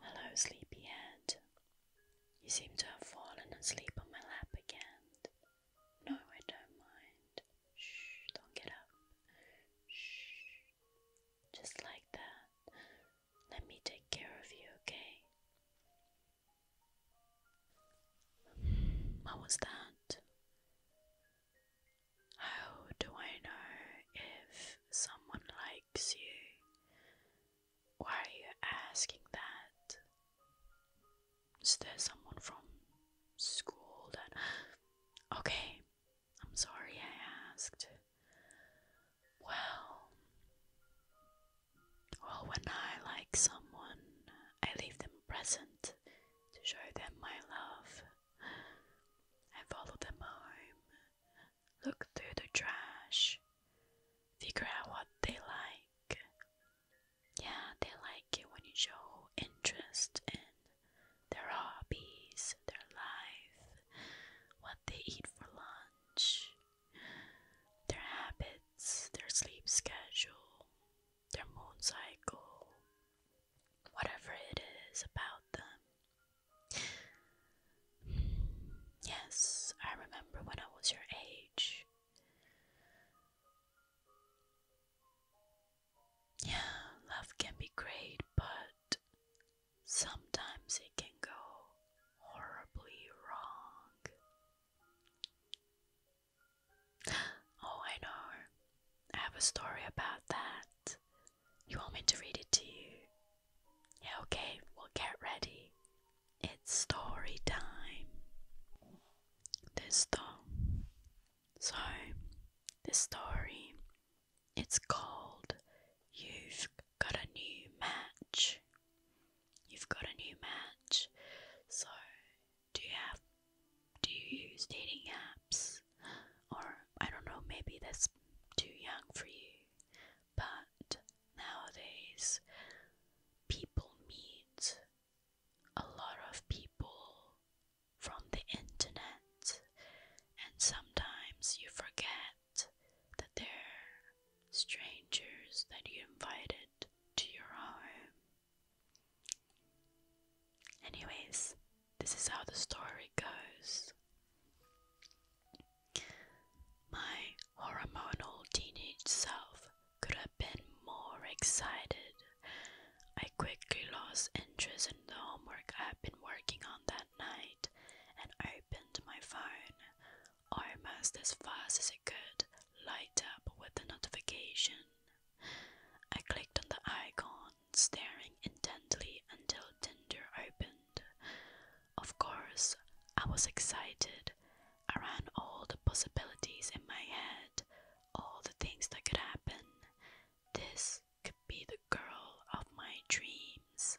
Hello, sleepyhead. You seem to have fallen asleep on my lap again. No, I don't mind. Shh, don't get up. Shh. Just like that. Let me take care of you, okay? What was that? How do I know if someone likes you? Why are you asking that? Is there someone from school that. Okay, I'm sorry I asked. Well, or when I like someone, I leave them a present to show them my love. I follow them home, look through the trash, figure out what they like. Yeah, they like it when you show interest in their hobbies, their life, what they eat for lunch, their habits, their sleep schedule, their moon cycle, whatever it is about them. Yes, I remember when I was your age. Yeah, love can be great, but sometimes it can go horribly wrong. Oh, I know. I have a story about that. You want me to read it to you? Yeah, okay, We'll get ready. It's story time. This th- So, this story, it's called You've Got a New Match. You've got a new match. So, do you have do you use dating apps? Or I don't know, maybe that's too young for you. But nowadays people meet a lot of people from the internet and sometimes you forget that they're strangers that you invited to your home Anyways, this is how the story goes. My hormonal teenage self could have been more excited. I quickly lost interest in the homework I had been working on that night and opened my phone almost as fast as it could light up with a notification. I clicked on the icon, staring intently until Tinder opened. Of course, I was excited. I ran all the possibilities in my head, all the things that could happen. This could be the girl of my dreams.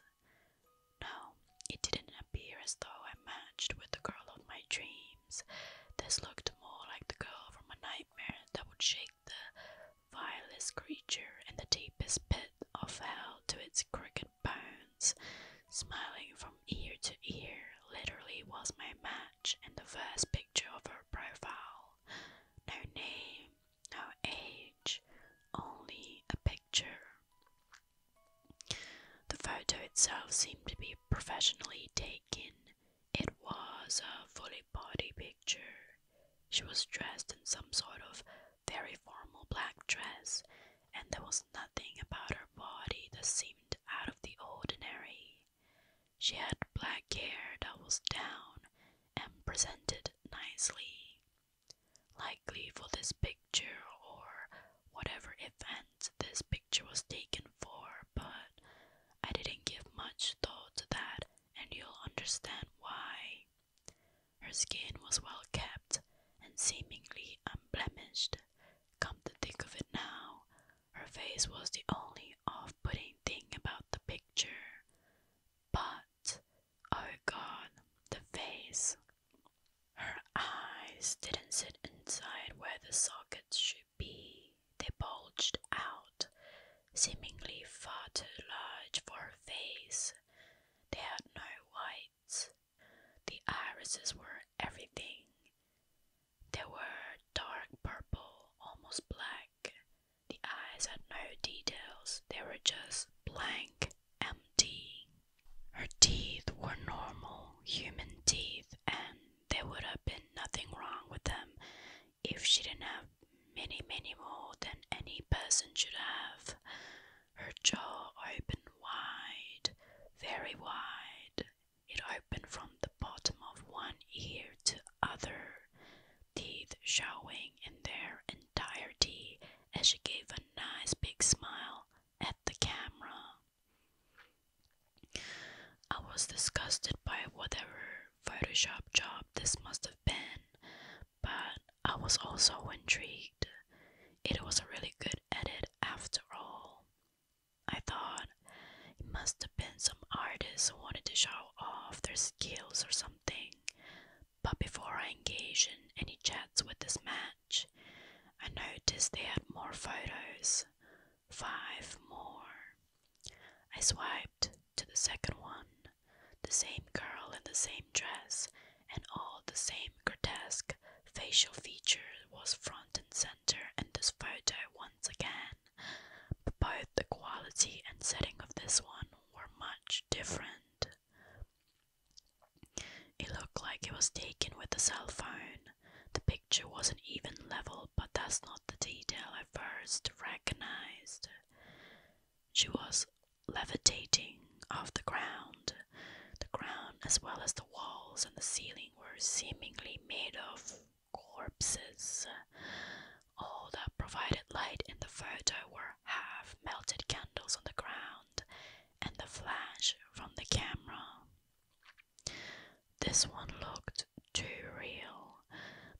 No, it didn't appear as though I matched with the girl of my dreams. This looked more like the girl from a nightmare that would shake the vilest creature in the deepest pit of hell to its crooked bones. Smiling from ear to ear literally was my match in the first picture of her profile. No name, no age, only a picture. The photo itself seemed to be professionally taken. It was a fully body picture. She was dressed in some sort of very formal black dress, and there was nothing about her body that seemed out of the ordinary. She had black hair that was down and presented nicely. Likely for this picture or whatever event this picture was taken for, but I didn't give much thought to that, and you'll understand why. Her skin was well kept and seemingly unblemished. Come to think of it now, her face was the only off putting thing about the picture. But, oh god, the face. Her eyes didn't sit inside where the sockets should be, they bulged out, seemingly far too large for her face. They had no whites. The irises were everything. They were dark purple, almost black. The eyes had no details, they were just blank, empty. Her teeth were normal human teeth and there would have been nothing wrong with them if she didn't have many, many more than any person should have. Her jaw opened wide, very wide. It opened from the bottom of one ear to other, teeth showing in their entirety as she gave a nice big smile at the camera. I was disgusted by whatever Photoshop job this must have been, but I was also intrigued. It was a really good edit after all. I thought it must have been some artists who wanted to show off their skills or something. But before I engaged in any chats with this match, I noticed they had more photos five more. I swiped to the second one, the same girl in the same dress, and all the same grotesque facial feature was front and center in this photo once again. But both the quality and setting of this one were much different. It looked like it was taken with a cell phone, the picture wasn't even level, but that's not the detail I first recognized. She was levitating off the ground. The ground, as well as the walls and the ceiling, were seemingly made of corpses. All that provided light in the photo were half melted candles on the ground and the flash from the camera. This one looked too real.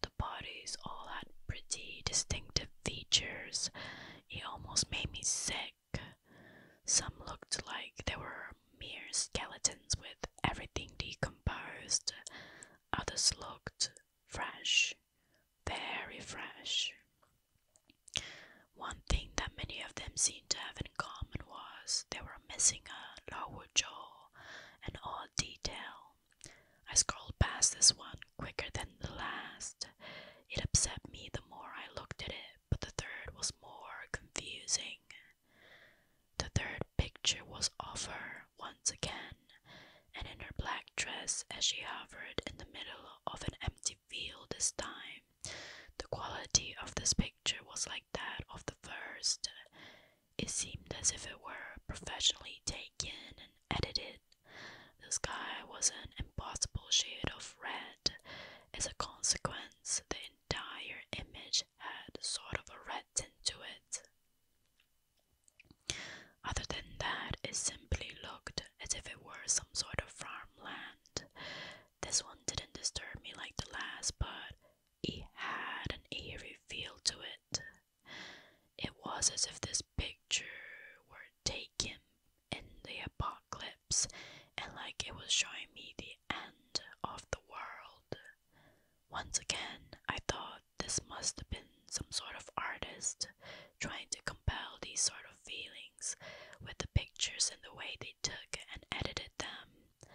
The bodies all had pretty distinctive features. It almost made me sick. Some looked like they were mere skeletons with everything decomposed. Others looked fresh, very fresh. One thing that many of them seemed to have in common was, they were missing a lower jaw, an odd detail. I scrolled past this one quicker than the last. It upset me the more I looked at it, but the third was more confusing. The third picture was of her once again, and in her black dress as she hovered in the middle of an empty field this time. The quality of this picture was like that of the first. It seemed as if it were professionally taken and edited. The sky was an impossible shade of red. As a consequence, the entire image had sort of a red tint to it. Other than that, it simply looked as if it were some sort of farmland. This one didn't disturb me like the last, but it had an eerie feel to it. It was as if this picture were taken in the apocalypse and like it was showing me the end of the world. Once again, I thought this must have been some sort of artist trying to compel these sort of feelings with the pictures and the way they took and edited them.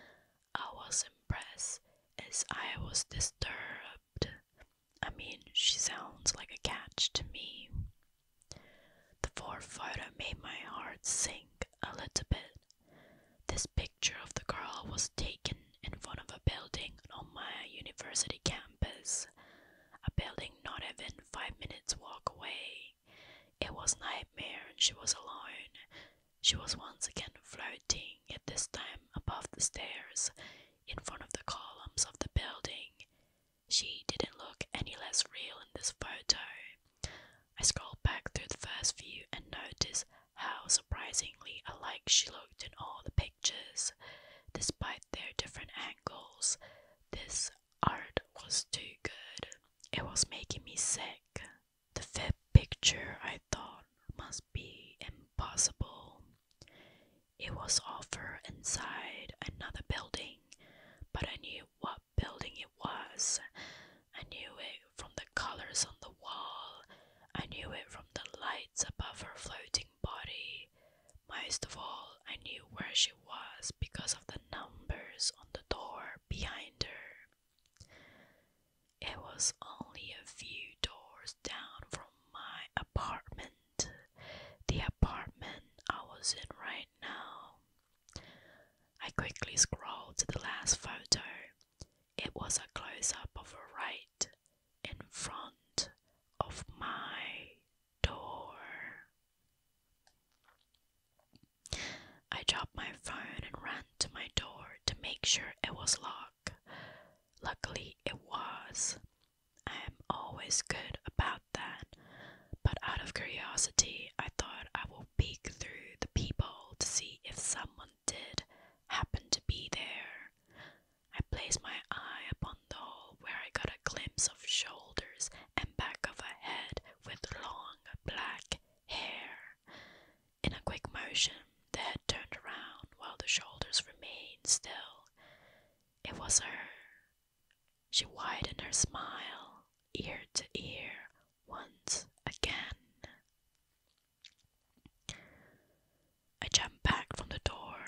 I was impressed as I was disturbed. I mean, she sounds like a catch to me. The fourth photo made my heart sink a little bit. This picture of the girl was taken in front of a building on my university campus, a building not even five minutes walk away. It was nightmare and she was alone. She was once again floating, at this time above the stairs, in front of the columns of the building. She didn't look any less real in this photo. I scrolled back through the first few and noticed how surprisingly alike she looked in all the pictures. Despite their different angles, this art was too good. It was making me sick. The fifth picture I thought must be impossible. It was all for inside another building, but I knew what building it was. I knew it from the colors on the wall. I knew it from the lights above her floating body. Most of all, I knew where she was because of the numbers on the door behind her. It was only a few doors down from my apartment, the apartment I was in right now. I quickly scrolled to the last photo. It was a close up of a right in front of my door. I dropped my phone and ran to my door to make sure it was locked. Luckily, it was. I am always good about that, but out of curiosity, I thought I would peek through the peephole to see if someone did happen to be there. I placed my eye upon the hole where I got a glimpse of shoulders and back of a head with long black hair. In a quick motion, the head turned around while the shoulders remained still. It was her. She widened her smile, ear to ear, once again. I jumped back from the door.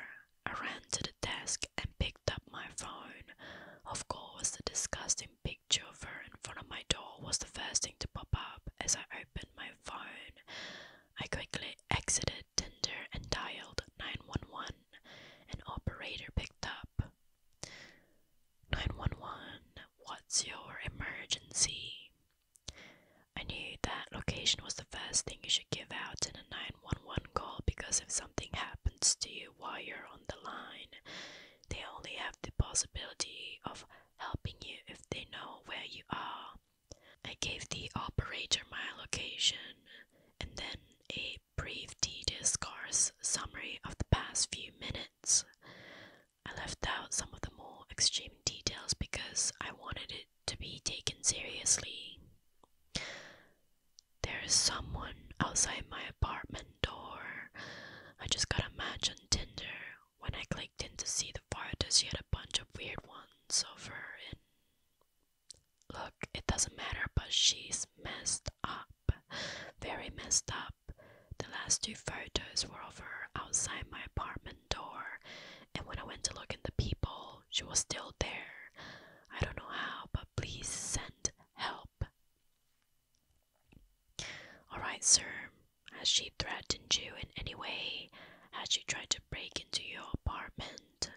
I ran to the desk and picked up my phone. Of course, the disgusting picture of her in front of my door was the first thing to pop up as I opened my phone. I quickly exited Tinder and dialed 911. An operator picked up. 911, what's your emergency? I knew that location was the first thing you should give out in a 911 call because if something happens to you while you're on the line, they only have the possibility of helping you if they know where you are. I gave the operator my location and then a brief tedious scarce summary of the past few minutes. I left out some of the more extreme details because I wanted it to be taken seriously. There is someone outside my apartment door. I just got a match on Tinder. When I clicked in to see the farthest, she had a bunch of weird ones of her. And look, it doesn't matter, but she's messed up. Very messed up. The last two photos were of her outside my apartment door, and when I went to look in the people, she was still there. I don't know how, but please send help. All right, sir. Has she threatened you in any way? Has she tried to break into your apartment?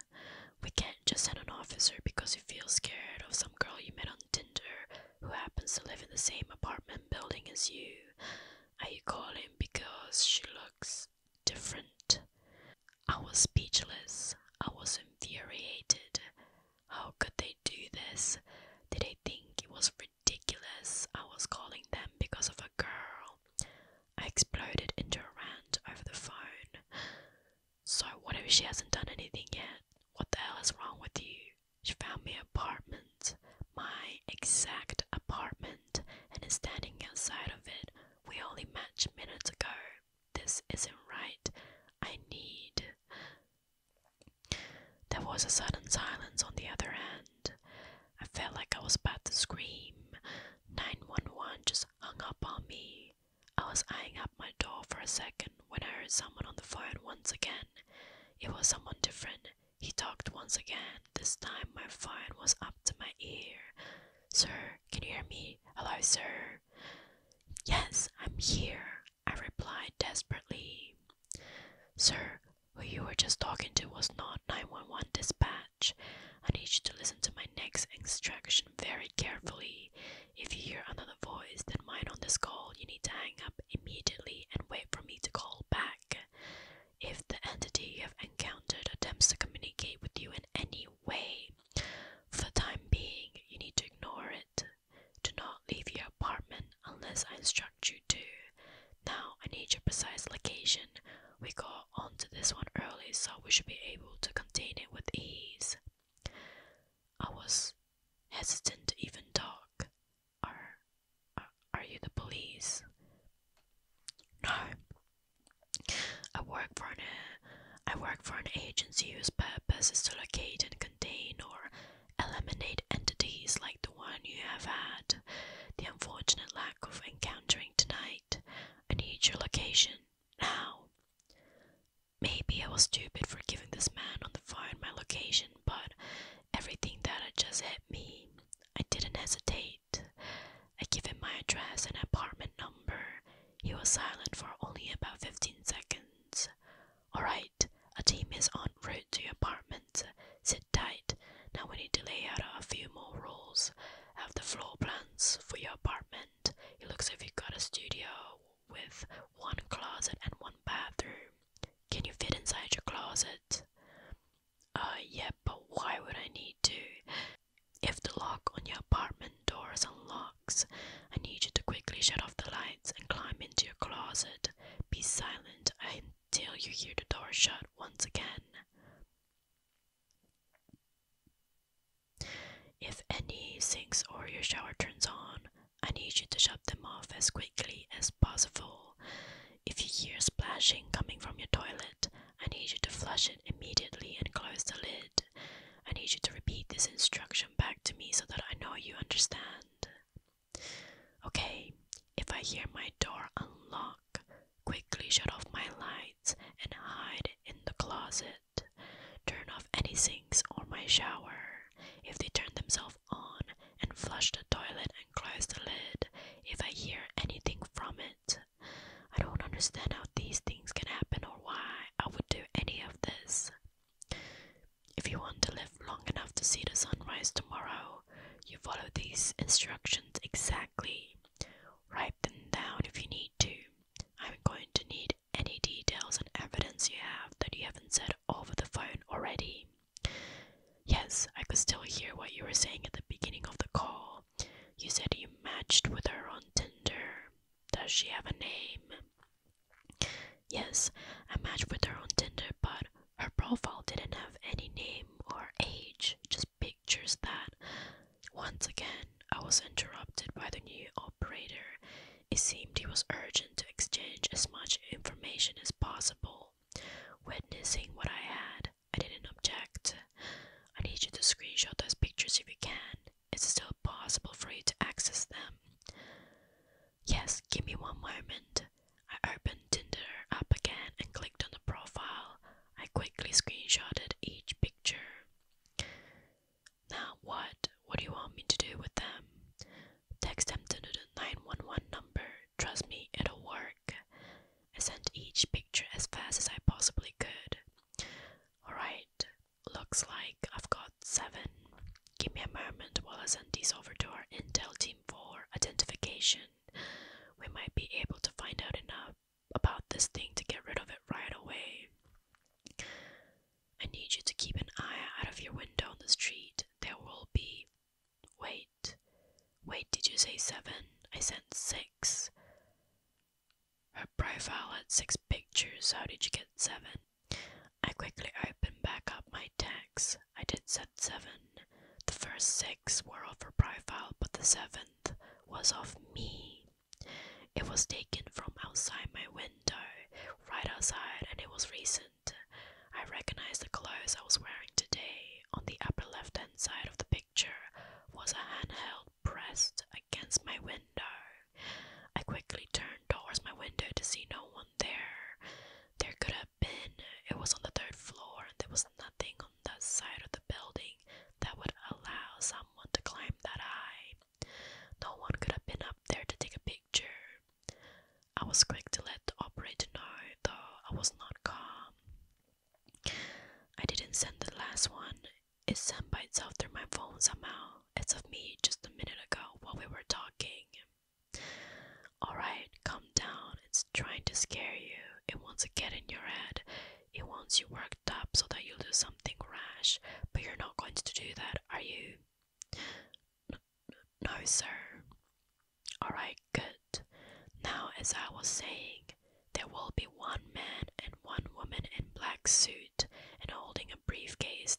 We can't just send an officer because you feel scared of some girl you met on Tinder who happens to live in the same apartment building as you. Are you calling because she looks different? I was speechless. I was infuriated. How could they do this? Did they think it was ridiculous I was calling them because of a girl? I exploded into a rant over the phone. So, what if she hasn't done anything yet? What the hell is wrong with you? She found me apartment, my exact apartment, and is standing outside of it. We only matched minutes ago. This isn't right. I need. There was a sudden silence on the other end. I felt like I was about to scream. 911 just hung up on me. I was eyeing up my door for a second when I heard someone on the phone once again. It was someone different. He talked once again. This time my phone was up to my ear. Sir, can you hear me? Hello, sir. Yes, I'm here. I replied desperately. Sir, who you were just talking to was not 911 dispatch. I need you to listen to my next extraction very carefully. If you hear another voice than mine on this call, you need to hang up immediately and wait for me to call back. If the entity you have encountered attempts to communicate with you in any way, for the time being, you need to ignore it. Do not leave your apartment unless I instruct you to. Now, I need your precise location. We got onto this one early, so we should be able to contain it with ease. I was hesitant to even talk. Are, are, you the police? No. I work for an I work for an agency whose purpose is to locate and contain or eliminate entities like the one you have had, the unfortunate lack of encountering tonight. I need your location now. Maybe I was stupid for giving this man on the phone my location, but everything that had just hit me, I didn't hesitate. I gave him my address and apartment number. He was silent for only about 15 seconds. Alright, a team is on route to your apartment. Sit tight. Now we need to lay out a few more rules. Have the floor plans for your apartment. It looks like you've got a studio with one closet and one bathroom. Can you fit inside your closet? Uh, yeah, but why would I need to? If the lock on your apartment door is unlocked, I need you to quickly shut off the lights and climb into your closet. Be silent until you hear the door shut once again. If any sinks or your shower turns on, I need you to shut them off as quickly as possible. If you hear splashing coming from your toilet, I need you to flush it immediately and close the lid. I need you to repeat this instruction back to me so that I know you understand. Okay, if I hear my door unlock, quickly shut off my lights and hide in the closet. Turn off any sinks or my shower. If they turn themselves on, and flush the toilet and close the lid if I hear anything from it. I don't understand how these things can happen or why I would do any of this. If you want to live long enough to see the sunrise tomorrow, you follow these instructions exactly. Write them down if you need to. I'm going to need any details and evidence you have that you haven't said over the phone already. Yes, I could still hear what you were saying at the beginning of the call. You said you matched with her on Tinder. Does she have a name? Yes, I matched with her on Tinder, but her profile didn't have any name or age, just pictures that. Once again, I was interrupted by the new operator. It seemed he was urgent to exchange as much information as possible. Witnessing what I had, I didn't object. I need you to screenshot those pictures if you can. It's still possible for you to access them. Yes, give me one moment. I opened Tinder up again and clicked on the profile. I quickly screenshotted each picture. Now what? What do you want me to do with them? Text them to the 911 number. Trust me, it'll work. I sent each picture as fast as I possibly could. Alright, looks like I've got seven. Give me a moment while I send these over to our intel team for identification. We might be able to find out enough about this thing to get rid of it right away. I need you to keep an eye out of your window on the street. There will be. Wait. Wait, did you say seven? I sent six. Her profile had six pictures. How did you get seven? I quickly opened back up my text. I did set seven. The first six were of her profile, but the seventh was of me. It was taken from outside my window, right outside, and it was recent. I recognized the clothes I was wearing today. On the upper left hand side of the picture was a hand held pressed against my window. I quickly turned towards my window to see no one there. There could have been, it was on the third floor, and there was nothing on that side of the building that would allow someone to climb that high. No one could have been up there to take a picture. I was quick to let the operator know, though I was not calm. I didn't send the last one, it sent by itself through my phone somehow. It's of me just a minute ago while we were talking. Alright, calm down. It's trying to scare you. It wants to get in your head. It wants you worked up so that you'll do something rash. But you're not going to do that, are you? no, sir. Alright, good. Now, as I was saying, there will be one man and one woman in black suit and holding a briefcase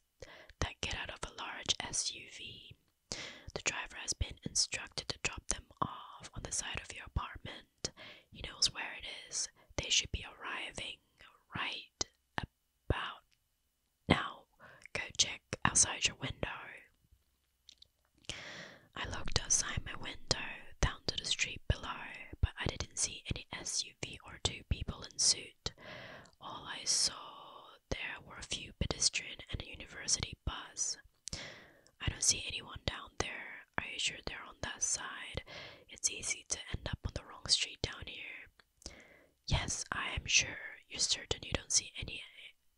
that get out of a large SUV. The driver has been instructed to drop them off on the side of your apartment. He knows where it is. They should be arriving right about now. Go check outside your window. I looked outside my window down to the street below, but I didn't see any SUV or two people in suit. All I saw there were a few pedestrian and a university bus. I don't see anyone down there. Are you sure they're on that side? It's easy to end up on the wrong street down here. Yes, I am sure. You're certain you don't see any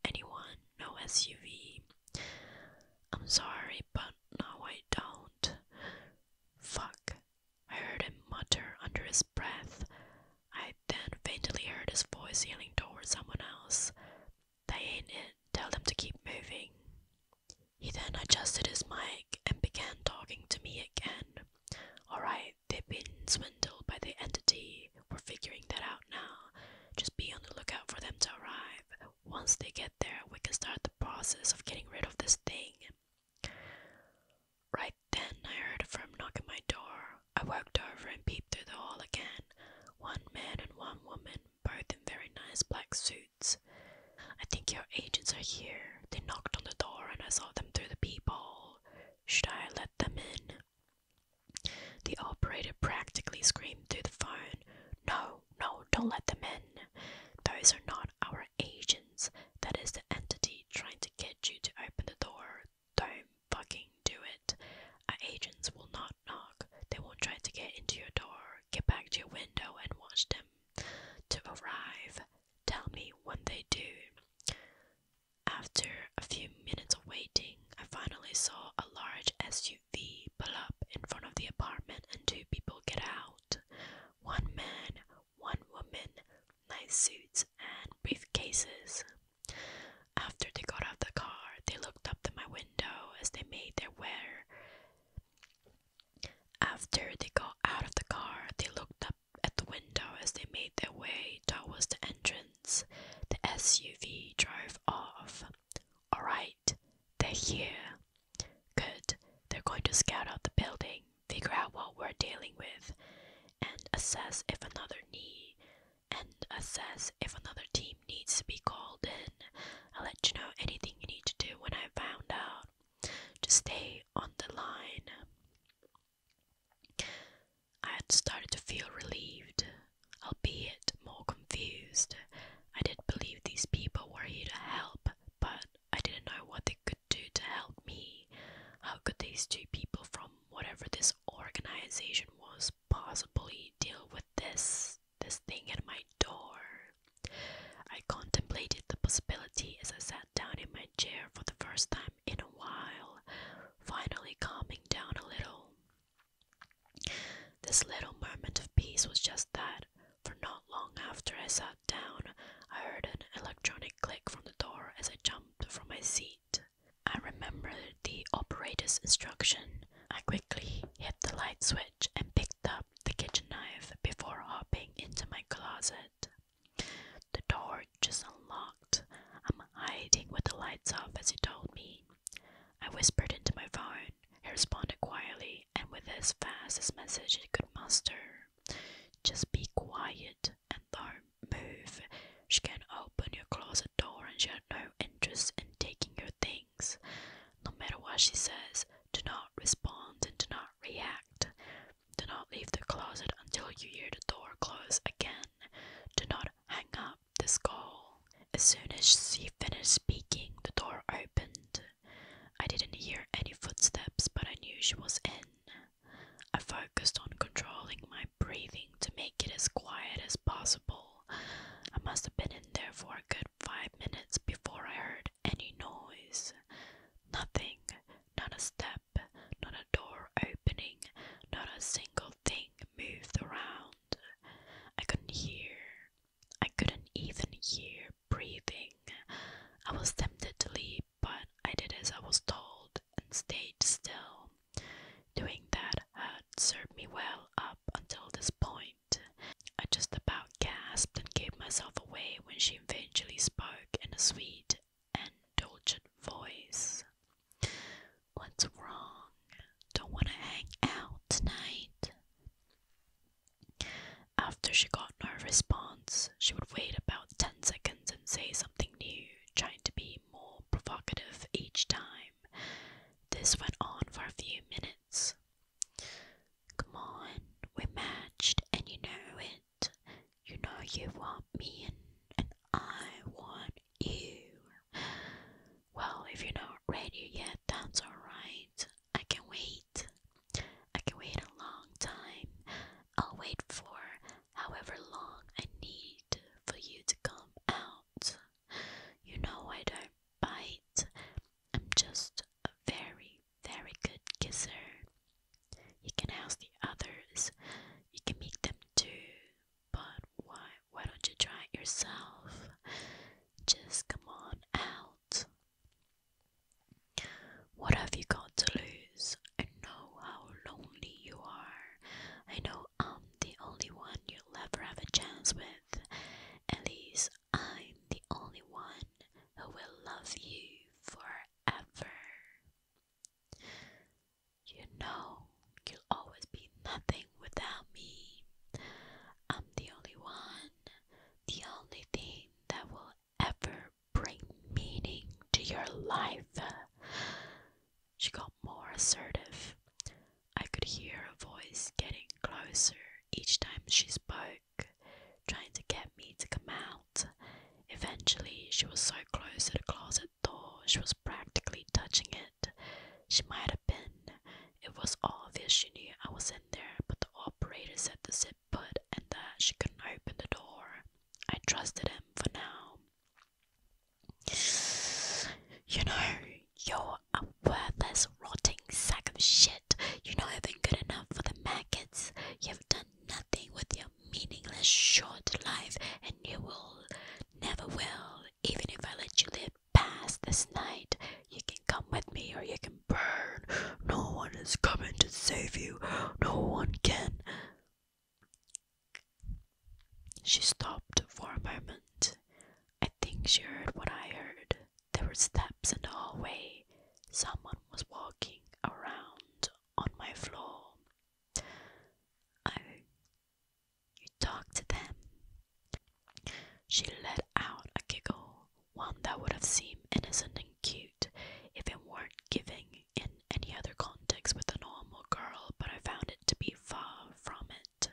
anyone? No SUV? I'm sorry, but no, I don't. Fuck. I heard him mutter under his breath breath. I then faintly heard his voice yelling towards someone else. They ain't it. Tell them to keep moving. He then adjusted his mic and began talking to me again. Alright, they've been swindled by the entity. We're figuring that out now. Just be on the lookout for them to arrive. Once they get there, we can start the process of getting rid of this thing. Right then I heard a firm knock at my door. I walked over and peeped through the hall again. One man and one woman, both in very nice black suits. I think your agents are here. They knocked on the door and I saw them through the peephole. Should I let them in? The operator practically screamed through the phone. No, no, don't let them in. Those are not our agents. That is the entity trying to get you to open the door. Don't fucking do it. Uh, agents will not knock. They will not try to get into your door, get back to your window, and watch them to arrive. Tell me what they do. After a few minutes of waiting, I finally saw a large SUV pull up in front of the apartment and two people get out. One man, one woman, Nice suits, and briefcases. After they got out of the car, they looked up to my window as they made their way. After they got out of the car, they looked up at the window as they made their way towards the entrance. The SUV drove off. Alright, they're here. Good, they're going to scout out the building figure out what we're dealing with, and assess if another need and assess if another team needs to be called in. I'll let you know anything you need to do when I found out. Just stay on the line. I had started to feel relieved, albeit more confused. I did believe these people were here to help, but I didn't know what they could do to help me? How could these two people from whatever this organization was possibly deal with this this thing at my door? I contemplated the possibility as I sat down in my chair for the first time in a while, finally calming down a little. This little moment of peace was just that, for not long after I sat down, I heard an electronic click from the door as I jumped from my seat. I remembered the operator's instruction. I quickly hit the light switch and picked up the kitchen knife before hopping into my closet. The door just unlocked. I'm hiding with the lights off, as he told me. I whispered into my phone. He responded quietly and with as fast as message he could muster. Just be quiet and don't move. She can open your closet door and she has no interest in taking your things. No matter what she says, do not respond and do not react. Do not leave the closet until you hear the door close again. Do not hang up this call. As soon as she finished speaking, the door opened. I didn't hear any footsteps, but I knew she was in. I focused on controlling my breathing to make it as quiet as possible. I must have been in there for a good five minutes before I heard any noise. Nothing, not a step, not a door opening, not a single thing moved around. I couldn't hear. I couldn't even hear breathing. I was tempted to leave but I did as I was told and stayed still. Doing that had served me well up until this point. I just about gasped and gave myself away when she eventually spoke in a sweet and indulgent voice. What's wrong? Don't want to hang out tonight. After she got no response, she would wait about 10 seconds and say something new trying to be more provocative each time. This went on for a few minutes. Come on, we're matched, and you know it. You know you want me, and, I want you. Well, if you're not ready yet, that's alright. I can wait. I can wait a long time. I'll wait for however long I need for you to come out. You know I don't bite. I'm just a very, very good kisser. You can ask the others. You can meet them too. But why why don't you try it yourself? Just come on out. What have you got to lose? I know how lonely you are. I know I'm the only one you'll ever have a chance with. At least I'm the only one who will love you forever. You know you'll always be nothing without me. I'm the only one, the only thing that will ever bring meaning to your life. She got more assertive. I could hear her voice getting closer each time she spoke, trying to get me to come out. Eventually, she was so close to the closet door, she was practically touching it. She might have been. It was obvious she knew I was in there, but the operator said the zip put and that she couldn't open the door. I trusted him for now. You know, you're a worthless, rotting sack of shit. You're not even good enough for the maggots. You've done nothing with your meaningless, short life, and you will never will. Even if I let you live past this night, you can come with me or you can burn. No one is coming to save you. No one can. She stopped for a moment. I think she heard what I heard. There were steps in the hallway. Someone was walking around on my floor. Oh, you talked to them? She let out a giggle, one that would have seemed innocent and cute if it weren't giving in any other context with a normal girl, but I found it to be far from it.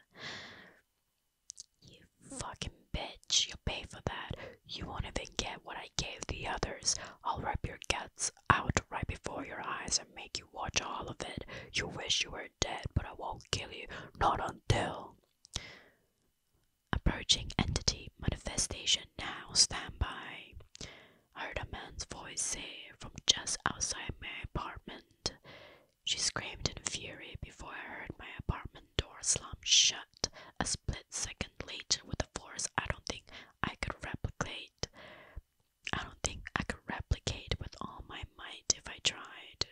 You fucking bitch, you'll pay for that. You won't even get what I gave the others. I'll rip your guts out right before your eyes and make you watch all of it. You wish you were dead, but I won't kill you. Not until. Approaching entity manifestation now. Stand by. I heard a man's voice say from just outside my apartment. She screamed in fury before I heard my apartment door slam shut a split second later with a force I don't think I could replicate. I don't think I could replicate with all my might if I tried.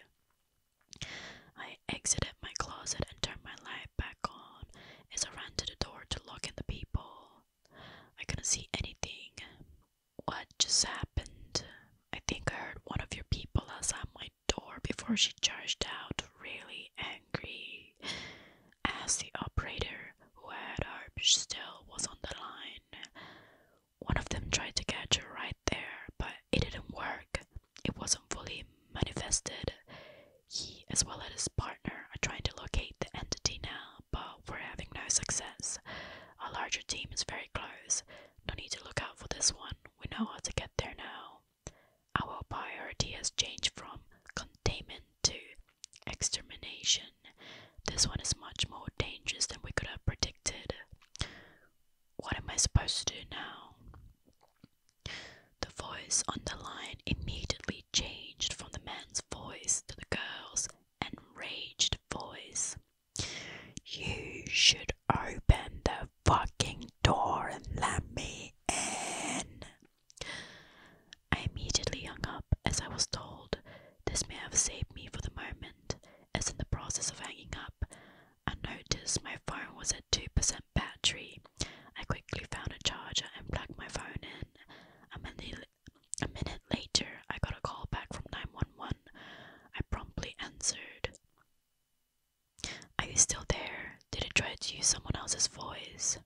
I exited my closet and turned my light back on as I ran to the door to look in the people. I couldn't see anything. What just happened? I think I heard one of your people outside my door before she charged out, really angry. As the operator, who had her still, was on the line. One of them tried to catch her right there, but it didn't work. It wasn't fully manifested. He, as well as his partner, are trying to locate the entity now but we're having no success. Our larger team is very close. No need to look out for this one. We know how to get there now. Our priority has changed from containment to extermination. This one is much more dangerous than we could have predicted. What am I supposed to do now? The voice on the line immediately changed from the man's voice to the girl's enraged voice. You should open the fucking door and let me in. I immediately hung up as I was told. This may have saved me for the moment, as in the process of hanging up, I noticed my phone was at 2% battery. I quickly found a charger and plugged my phone in. I a minute later, I got a call back from 911. I promptly answered. Are you still there? Did it try to use someone else's voice?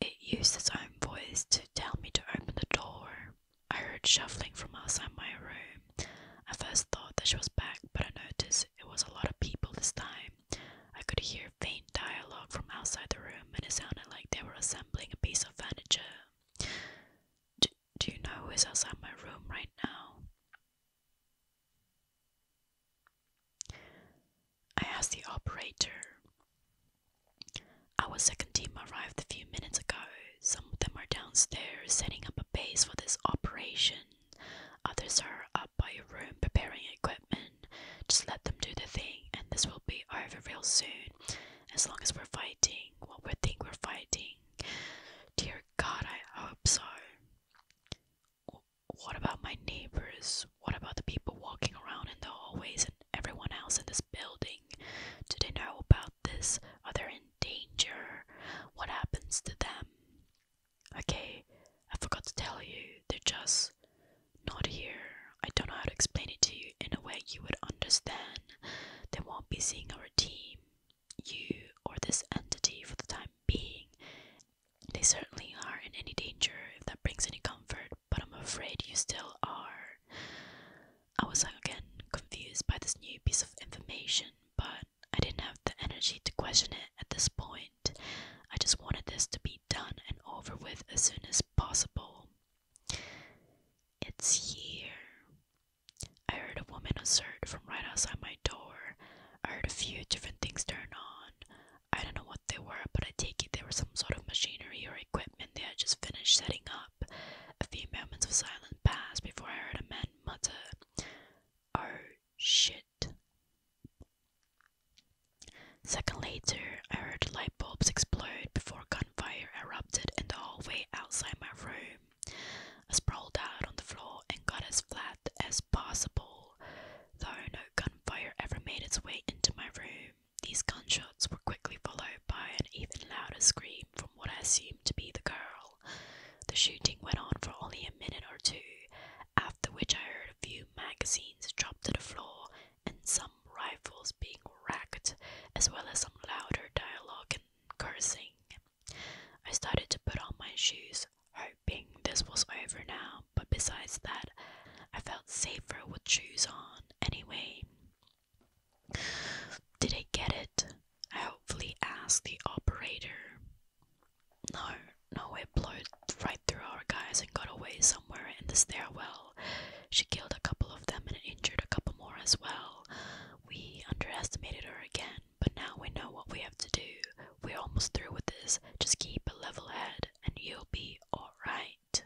It used its own voice to tell me to open the door. I heard shuffling from outside my room. I first thought that she was back, but I noticed it was a lot of people this time. I could hear faint dialogue from outside the room, and it sounded like they were assembling a piece of furniture. Do, do you know who is outside my room right now? I asked the operator. Our second team arrived a few minutes ago. Some of them are downstairs setting up a base for this operation, others are up by your room preparing equipment. Just let them do the thing, and this will be over real soon. As long as we're fighting what we think we're fighting. Dear God, I hope so. What about my neighbors? What about the people walking around in the hallways and everyone else in this building? Do they know about this? Are they in danger? What happens to them? Okay, I forgot to tell you, they're just not here. I don't know how to explain it to you in a way you would understand. They won't be seeing our team, you, or this entity for the time being. They certainly aren't in any danger, if that brings any comfort, but I'm afraid you still are. I was again confused by this new piece of information, but I didn't have the energy to question it at this point. I just wanted this to be done and over with as soon as possible. It's here. I heard a woman assert from right outside my door. I heard a few different things turn on. I don't know what they were, but I take it they were some sort of machinery or equipment they had just finished setting up. A few moments of silence passed before I heard a man mutter, Oh shit. Second later, I heard light bulbs explode before gunfire erupted in the hallway outside my room. I sprawled out on the floor and got as flat as possible, though no gunfire ever made its way into my room. These gunshots were quickly followed by an even louder scream from what I assumed to be the girl. The shooting went on for only a minute or two, after which I heard a few magazines drop to the floor and some rifles being racked, as well as some louder dialogue and cursing. I started to put on my shoes, hoping this was over now, but besides that, I felt safer with shoes on anyway. Did I get it? I hopefully asked the operator. No, no, it blew right through our guys and got away somewhere in the stairwell. She killed a couple of them and injured a couple more as well. We underestimated her again, but now we know what we have to do. We're almost through with this. Just keep a level head and you'll be alright.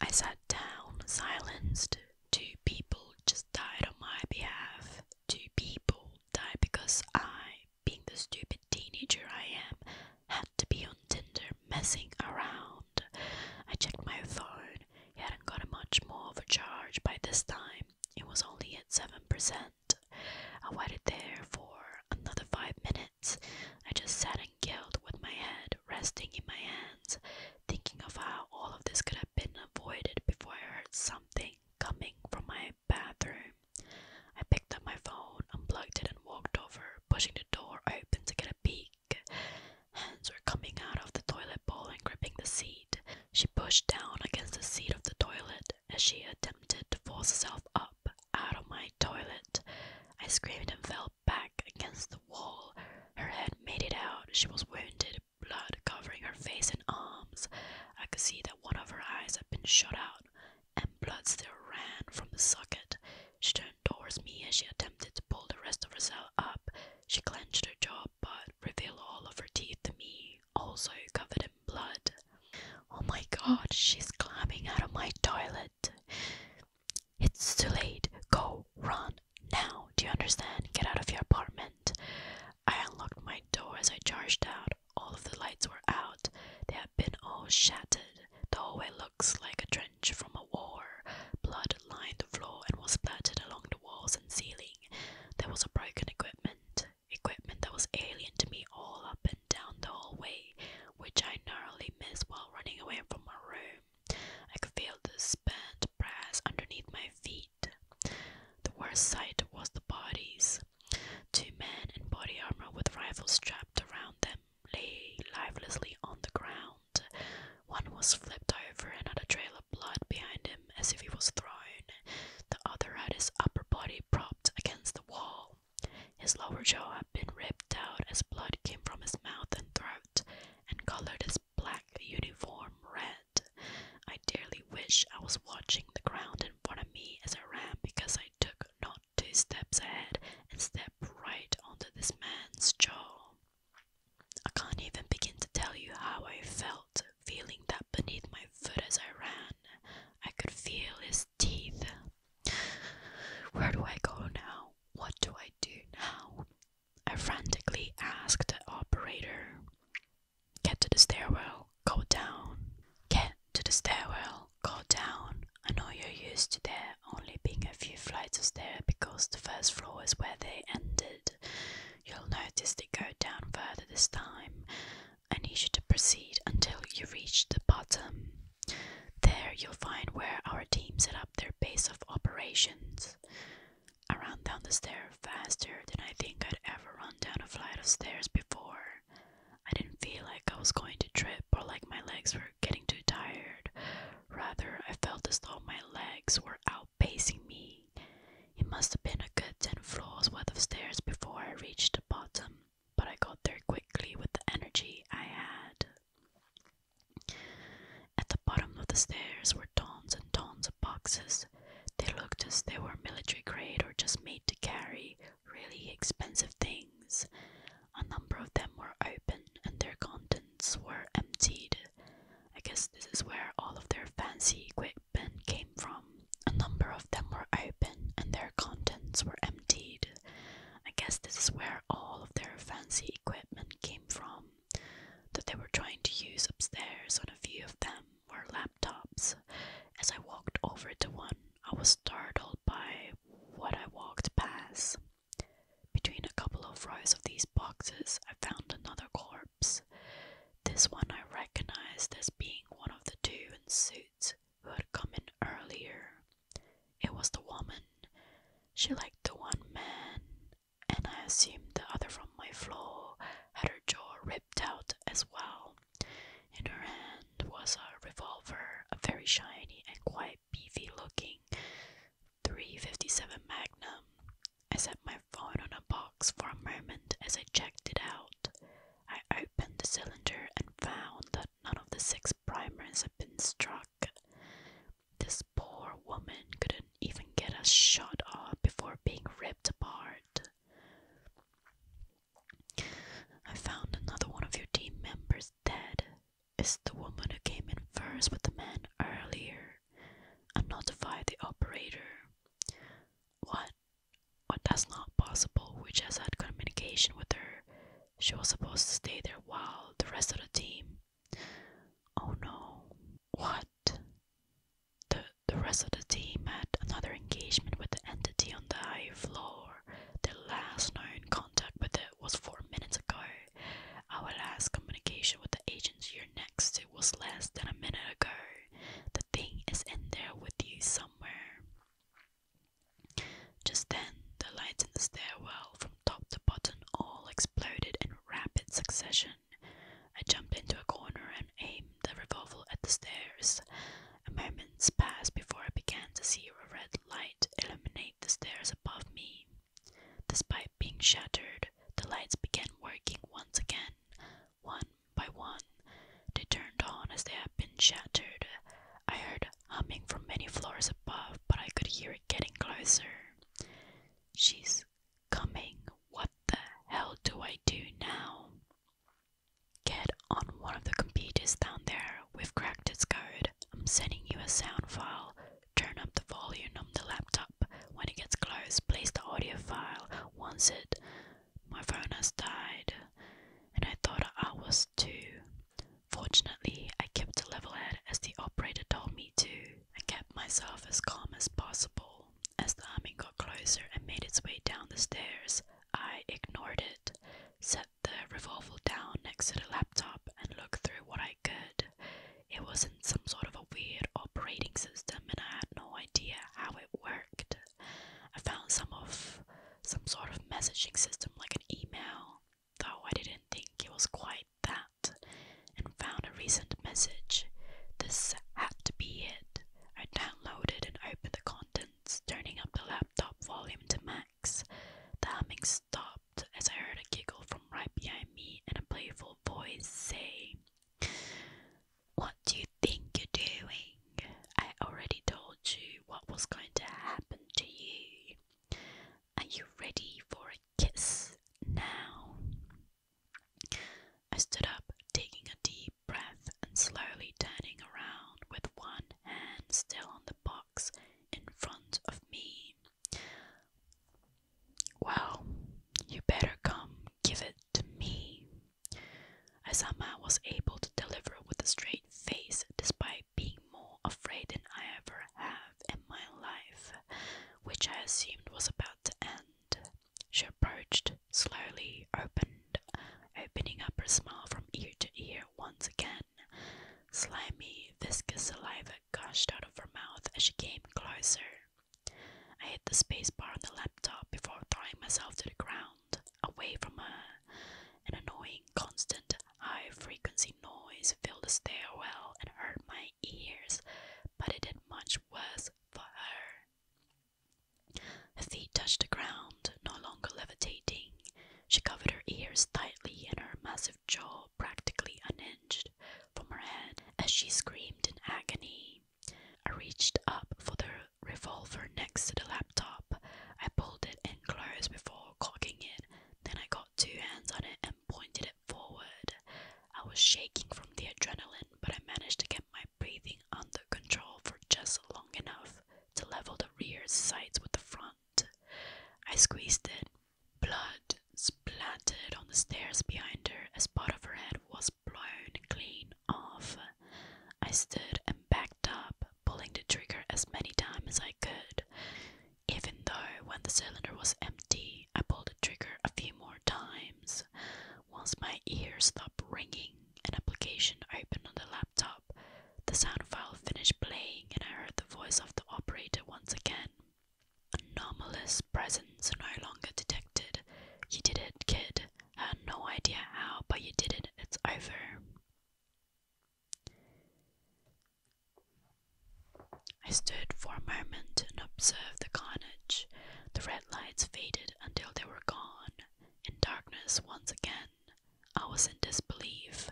I sat down, silenced. Two people just died on my behalf. Two people died because I, being the stupid teenager I am, had to be on Tinder messing around. I checked my phone. He hadn't gotten much more of a charge by this time. It was only at 7%. I waited there for another five minutes. I just sat and guilt, with my head resting in my hands, thinking of how all of this could have been avoided before I heard something coming from my bathroom. I picked up my phone unplugged it, and walked over, pushing the door open to get a peek. Hands were coming out of the toilet bowl and gripping the seat. She pushed down against the seat of the toilet as she attempted to force herself up out of my toilet. I screamed and fell back against the wall. Her head made it out. She was wounded, blood covering her face and arms. I could see that one of her eyes had been shot out and blood still ran from the socket. She turned towards me as she attempted to pull the rest of herself up. She clenched her jaw but revealed all of her teeth to me, also covered in blood. Oh my god, she's climbing out of my toilet. It's too late. Go, run, now. Do you understand? Get out of your apartment. I unlocked my door as I charged out. All of the lights were out. They had been all shattered. The hallway looks like a from a war. Blood lined the floor and was splattered along the walls and ceiling. There was a broken equipment, equipment that was alien to me all up and down the hallway, which I narrowly missed while running away from my room. I could feel the spent brass underneath my feet. The worst sight was the bodies. Two men in body armor with rifles strapped around them lay lifelessly on the ground. One was flipped over and had a trail of blood behind him as if he was thrown. The other had his upper body propped against the wall. His lower jaw had been ripped out as blood came from his mouth and throat and colored his black uniform red. I dearly wish I was watching the ground in front of me as I ran because I took not two steps ahead and stepped right onto this man's jaw. I can't even begin to tell you how I felt, feeling that beneath my foot as I ran. I could feel his teeth. Where do I go now? What do I do now? I frantically asked the operator. Get to the stairwell, go down. Get to the stairwell go down. I know you're used to there only being a few flights of stairs because the first floor is where they ended. You'll notice they go down further this time. I need you to proceed until you reach the bottom. There you'll find where our team set up their base of operations. I ran down the stair faster than I think I'd ever run down a flight of stairs before. I didn't feel like I was going to trip or like my legs were getting too tired. Rather, I felt as though my legs were outpacing me. It must have been a good ten floors worth of stairs before I reached the bottom, but I got there quickly with the energy I had. At the bottom of the stairs were tons and tons of boxes. They looked as though they were military grade or just made to carry really expensive things. A number of them were open and their contents were emptied. I guess this is where all of their fancy equipment came from. A number of them were open and their contents were emptied. I guess this is where all of their fancy equipment came from that they were trying to use upstairs on a few of them were laptops. As I walked over to one, I was startled by what I walked past. Between a couple of rows of these boxes, I found another corpse. This one I recognized as being one of the two in suits who had come in earlier. It was the woman. She liked the one man, and I assumed the other from my floor had her jaw ripped out as well. In her hand was a revolver, a very shiny and quite beefy looking 357 Magnum. I set my phone on a box for a moment as I checked it out. I opened the cylinder and found that none of the six primers had been struck. This poor woman couldn't even get a shot off before being ripped apart. I found another one of your team members dead, is the woman who came in first with the man earlier and notified the operator. What? What that's not possible. We just had communication with her. She was supposed to stay there while the rest of the team. Oh no. What? The the rest of the team had another engagement with the entity on the high floor. Their last known contact with the was four minutes ago. Our last communication with the agents you're next to was less than a minute ago. The thing is in there with you somewhere. Just then, the lights in the stairwell from top to bottom all exploded in rapid succession. I jumped into a corner and aimed the revolver at the stairs. A moment passed before I began to see a red light illuminate the stairs above me. Despite being shattered, the lights began working once again, one by one. They turned on as they had been shattered. I heard humming from many floors above, but I could hear it getting closer. She's coming. What the hell do I do now? Get on one of the computers down there we've cracked its code. I'm sending you a sound file. Turn up the volume on the laptop. When it gets close, place the audio file. Once it. My phone has died, and I thought I was too. Fortunately, I kept a level head as the operator told me to. I kept myself as calm as possible. As the humming got closer and made its way down the stairs, I ignored it, set the revolver down next to the laptop and looked through what I could. It was not some sort of a weird operating system and I had no idea how it worked. I found some of some sort of messaging system like an email, though I didn't think it was quite that, and found a recent message. This had to be it. I downloaded and opened the contents, turning up the laptop volume to max. The humming stopped as I heard a giggle from right behind me and a playful voice say, What do you think you're doing? I already told you what was going to happen to you. Are you ready for a kiss now? I stood up, taking a deep breath and slowly turning around with one hand still on the box in front of me. Well, you better come give it to me. I somehow was able to deliver with a straight face despite being more afraid than I ever have in my life, which I assumed was about to end. She approached slowly, opened, opening up her smile from ear to ear once again, Slimy, viscous saliva gushed out of her mouth as she came closer. I hit the space bar on the laptop before throwing myself to the ground, away from her. An annoying, constant, high frequency noise filled the stairwell and hurt my ears, but it did much worse for her. Her feet touched the ground, no longer levitating. She covered her ears tightly and her massive jaw practically unhinged from her head as she screamed in agony. I reached up for the revolver next to the laptop. I pulled it in close before cocking it. Then I got two hands on it and pointed it forward. I was shaking from the adrenaline, but I managed to get my breathing under control for just long enough to level the rear sights with the front. I squeezed it. Blood splattered on the stairs behind her as part of her head was blown clean off. I stood and backed up, pulling the trigger as many times as I could. Even though when the cylinder was empty, I pulled the trigger a few more times. Once my ears stopped ringing, an application opened on the laptop. The sound file finished playing, and I heard the voice of the operator once again. Anomalous presence no longer detected. You did it, kid. I had no idea how, but you did it. It's over. I stood for a moment and observed the carnage. The red lights faded until they were gone, in darkness once again. I was in disbelief,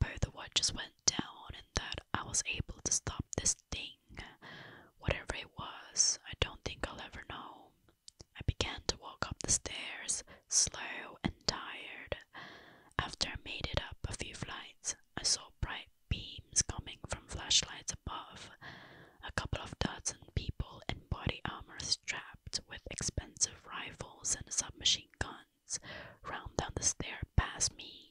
both the just went down, and that I was able to stop this thing. Whatever it was, I don't think I'll ever know. I began to walk up the stairs, slow and tired. After I made it up a few flights, I saw bright beams coming from flashlights above. A couple of dozen people in body armor strapped with expensive rifles and a submachine gun ran down the stair past me.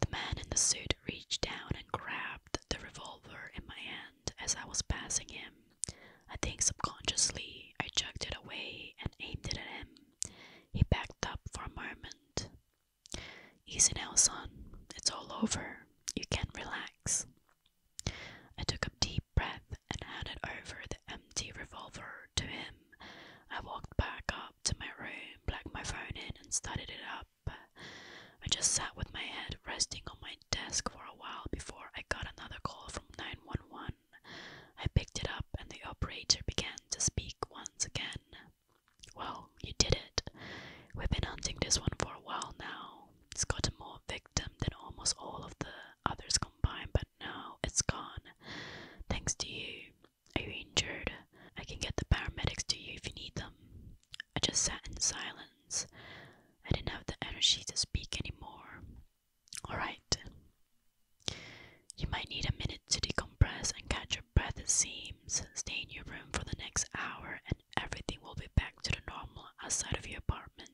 The man in the suit reached down and grabbed the revolver in my hand as I was passing him. I think subconsciously I jerked it away and aimed it at him. He backed up for a moment. Easy now, son. It's all over. You can relax. I took a deep breath and handed over the empty revolver to him. I walked back up to my room, plugged my phone in, and started it up. I just sat with my head resting on my desk for a while before I got another call from 911. I picked it up, and the operator began to speak once again. Well, you did it. We've been hunting this one for a while now. It's got more victims than almost all of the others combined, but now it's gone. Thanks to you. Are you injured? I can get the paramedics to you if you need them. I just sat in silence. I didn't have the energy to speak anymore. Alright. You might need a minute to decompress and catch your breath, it seems. Stay in your room for the next hour and everything will be back to the normal outside of your apartment.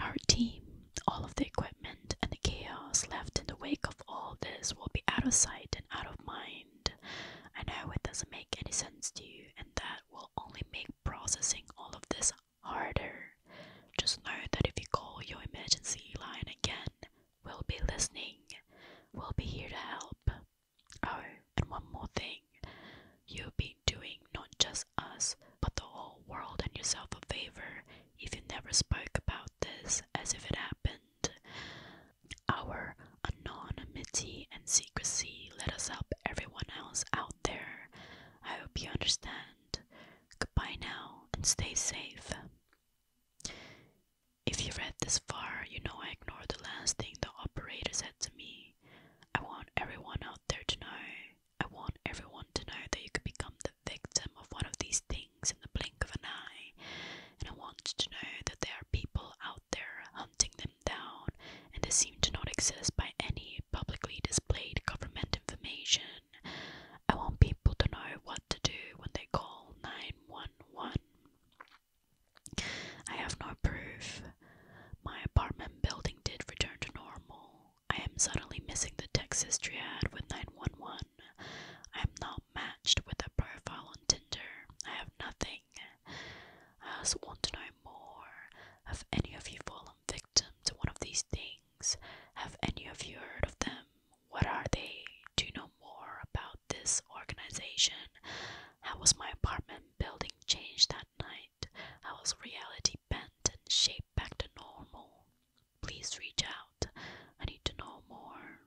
Our team all of the equipment and the chaos left in the wake of all this will be out of sight and out of mind. I know it doesn't make any sense to you, and that will only make processing all of this harder. Just know that if you call your emergency line again, we'll be listening. We'll be here to help. Oh, and one more thing. You've been doing not just us, but the whole world and yourself a favor if you never spoke about this as if it happened. Our anonymity and secrecy let us help everyone else out there. I hope you understand. Goodbye now and stay safe. If you read this far, you know I ignored the last thing the operator said to me. I want everyone out there to know. I want everyone to know that you could become the the victim of one of these things in the blink of an eye, and I want to know that there are people out there hunting them down, and they seem to not exist by any publicly displayed government information. I want people to know what to do when they call 911. I have no proof. My apartment building did return to normal. I am suddenly missing the Texas triad with 911. I am not matched with a profile on Tinder. I have nothing. I also want to know more. Have any of you fallen victim to one of these things? Have any of you heard of them? What are they? Do you know more about this organization? How was my apartment building changed that night? How was reality bent and shaped back to normal? Please reach out. I need to know more.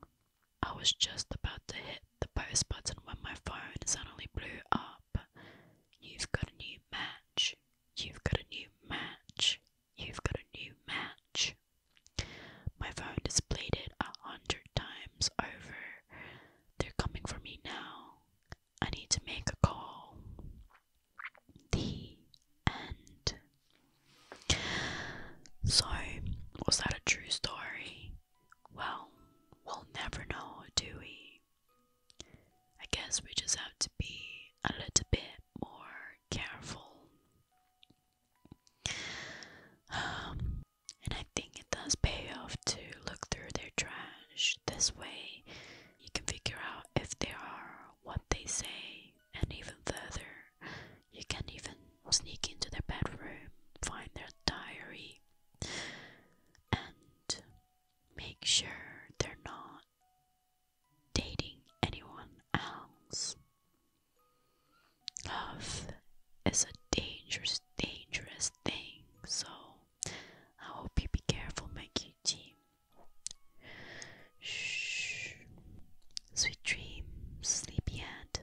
I was just about to hit the post button when my phone suddenly blew up. You've got a new match. You've got a new match. You've got a new match. My phone displayed it a hundred times over. They're coming for me now. I need to make a call the end. So, was that a true story? Well, we'll never know, do we? I guess we just have to be a little bit more careful. Um, and I think it does pay off to look through their trash. This way, you can figure out if they are what they say and even further, you can even sneak into their bedroom, find their diary, and make sure they're not dating anyone else. Love is a dangerous, dangerous thing, so I hope you be careful, my cutie. Shh. Sweet dreams, sleepyhead.